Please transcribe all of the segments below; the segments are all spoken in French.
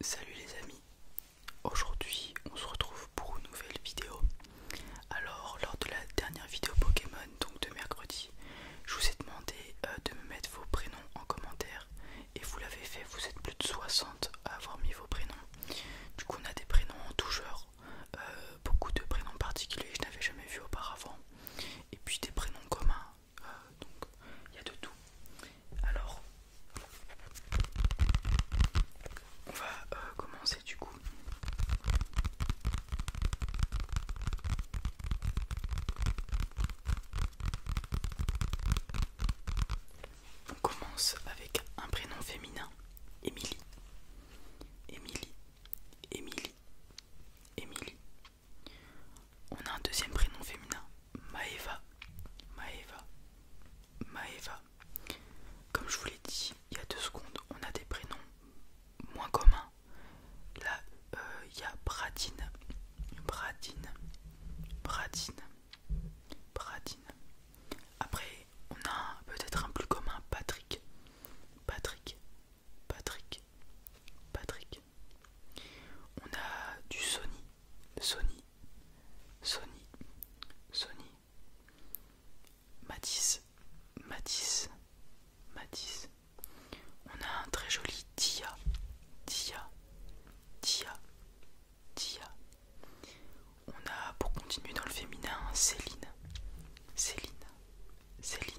Salut les amis, aujourd'hui on se retrouve pour une nouvelle vidéo. Alors lors de la dernière vidéo Pokémon, donc de mercredi, je vous ai demandé euh, de me mettre vos prénoms en commentaire et vous l'avez fait, vous êtes plus de 60 à avoir mis vos prénoms. Du coup on a des prénoms en tout euh, beaucoup de prénoms particuliers que je n'avais jamais vu auparavant et puis des prénoms communs euh, donc il y a de tout. Alors, on va euh, commencer du coup. On commence avec un prénom féminin, Émilie. Émilie, Émilie, Émilie on a un deuxième prénom féminin, Maeva. Maeva. Maeva. Comme je vous l'ai dit il y a deux secondes, on a des prénoms moins communs. Là, euh, il y a Bradine. Bradine. Bradine. Bradine. Après, on a peut-être un plus commun, Patrick. Patrick. Patrick. Patrick. On a du Sony. Sony. Sony, Sony, Matisse, Matisse, Matisse. On a un très joli Tia Tia Tia Tia On a, pour continuer dans le féminin, Céline, Céline, Céline.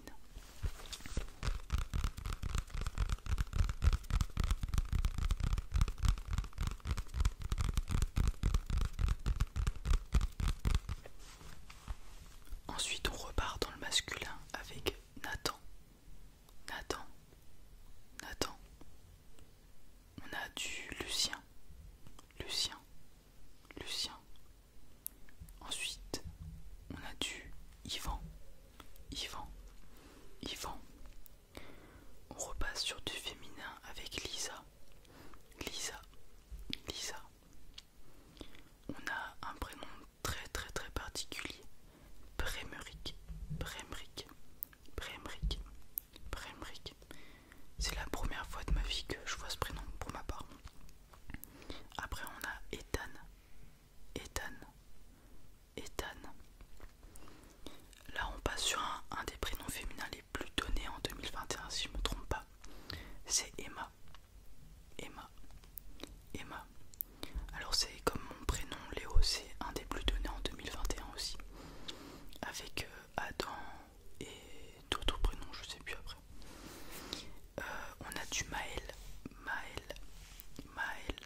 Ensuite, on repart dans le masculin avec Nathan. Nathan. Nathan. On a du Lucien. Lucien. Lucien. Ensuite, on a du Yvan. Yvan. Yvan. On repasse sur du féminin avec Lisa. Lisa. Lisa. On a un prénom très très très particulier. Bremeric. Bremeric. Bremeric. Bremeric. C'est la première fois de ma vie que je vois ce prénom pour ma part. Après on a Ethan. Ethan. Ethan. Là, on passe sur un, des prénoms féminins les plus donnés en 2021, si je me trompe pas. C'est Emma. Emma. Emma. Alors, c'est comme mon prénom, Léo, c'est un des plus donnés en 2021 aussi. Avec euh, Adam et d'autres prénoms, je sais plus après. Euh, on a du Maël. Maël. Maël.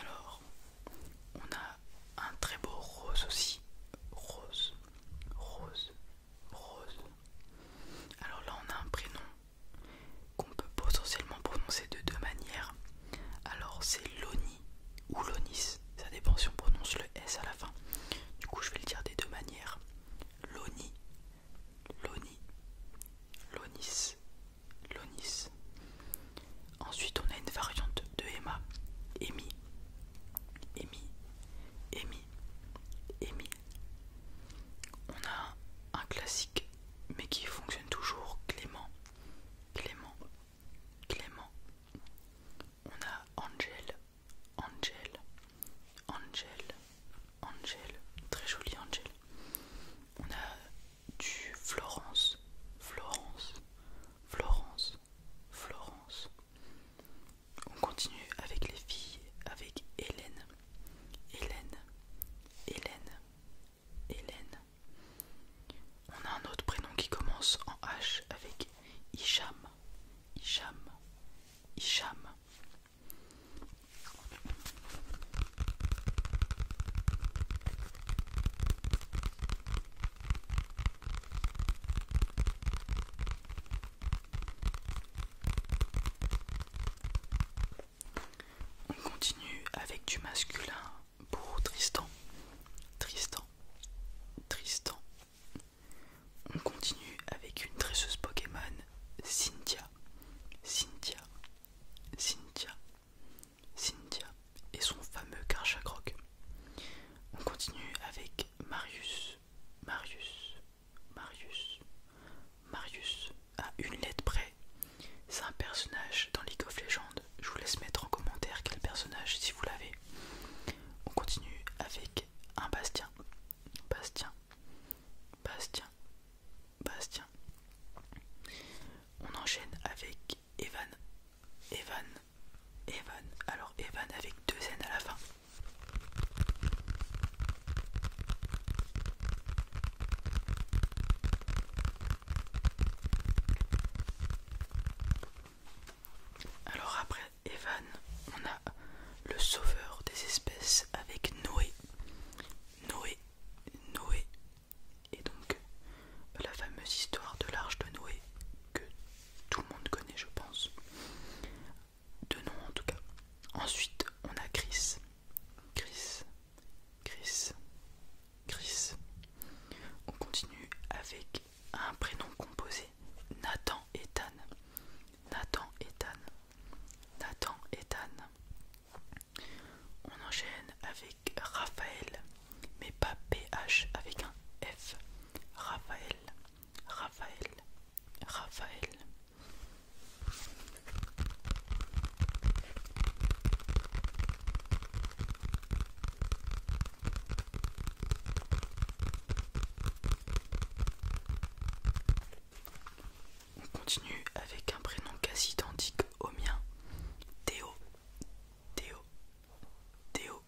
Alors, on a un très beau rose aussi. Rose, rose, Rose. Alors là, on a un prénom qu'on peut potentiellement prononcer de deux manières. Alors c'est Loni ou Lonis, ça dépend si on prononce le S à la fin. Du coup, je vais le dire des deux manières. Loni, Loni, Lonis, Lonis. Ensuite, on a une variante de Emma, Emi, Emi, Emi. On a un classique, mais qui fonctionne toujours, Clément. Clément. Clément. On a Angel. Angel. Angel. Angel. Très joli Angel. On a du Florence. Florence. Florence. Florence on continue avec les filles, avec Hélène, Hélène, Hélène, Hélène. On a un autre prénom qui commence en H avec Hicham, Hicham, Hicham. On continue avec du masculin pour Tristan. Tristan. Tristan. On continue avec une tresseuse Pokémon, Cynthia. Cynthia. Cynthia. Cynthia. Et son fameux Karchakroc. On continue avec Marius. Marius, Marius, Marius, à une lettre près. C'est un personnage dans League of Legends. Je vous laisse mettre en commentaire quel personnage si vous l'avez. On continue avec un Bastien. Bastien, Bastien, Bastien. On enchaîne avec Evan. Evan, Evan. Alors Evan avec deux N à la fin. Alors après Evan, on a le sauveur des espèces avec Noé. Noé, Noé. Et donc la fameuse histoire de l'arche de Noé que tout le monde connaît je pense. De nom en tout cas. Ensuite on a Chris. Chris. Chris. Chris. On continue avec un prénom composé. Nathan Ethan. Nathan Ethan. Nathan Ethan. On enchaîne avec Raphaël. Mais pas PH avec un F. Raphaël. Raphaël, Raphaël. On continue avec un prénom quasi identique au mien, Théo, Théo. Théo.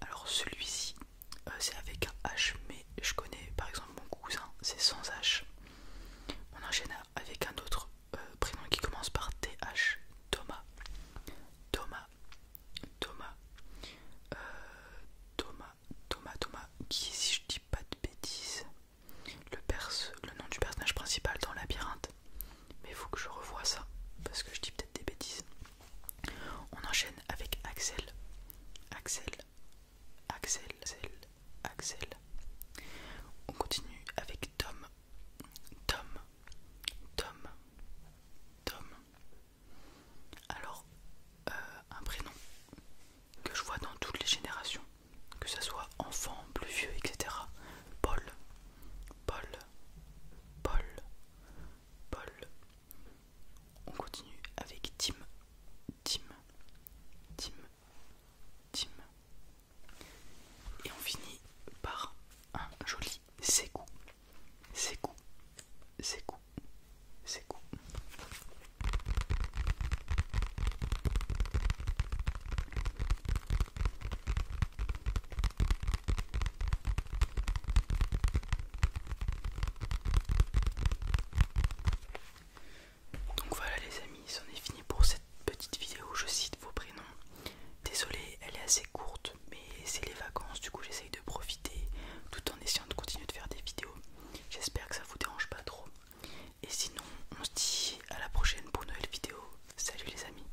Alors celui-ci, euh, c'est avec un H, mais je connais par exemple mon cousin, c'est sans H. On enchaîne avec un autre euh, prénom qui commence par TH, Thomas. Thomas. Thomas. Thomas, euh, Thomas. Thomas. Thomas. Qui, si je dis pas de bêtises, le, le nom du personnage principal dans Labyrinthe mais il faut que je revoie ça parce que je dis peut-être des bêtises. On enchaîne avec Axel. Axel, Axel, Axel, On continue avec Tom. Tom, Tom, Tom. Alors, euh, un prénom que je vois dans toutes les générations, que ce soit enfant, plus vieux, etc. Paul, Paul, Paul, Paul. On continue avec Tim. Tim. Tim. Tim. Et on finit par un joli secou, Ségou. Ségou. Ségou. Donc voilà les amis, c'en est fini pour cette petite vidéo, je cite vos prénoms. Désolé, elle est assez courte, mais c'est les vacances, du coup j'essaye de profiter tout en essayant de continuer de faire des vidéos. J'espère que ça vous dérange pas trop. Et sinon, on se dit à la prochaine pour une nouvelle vidéo. Salut les amis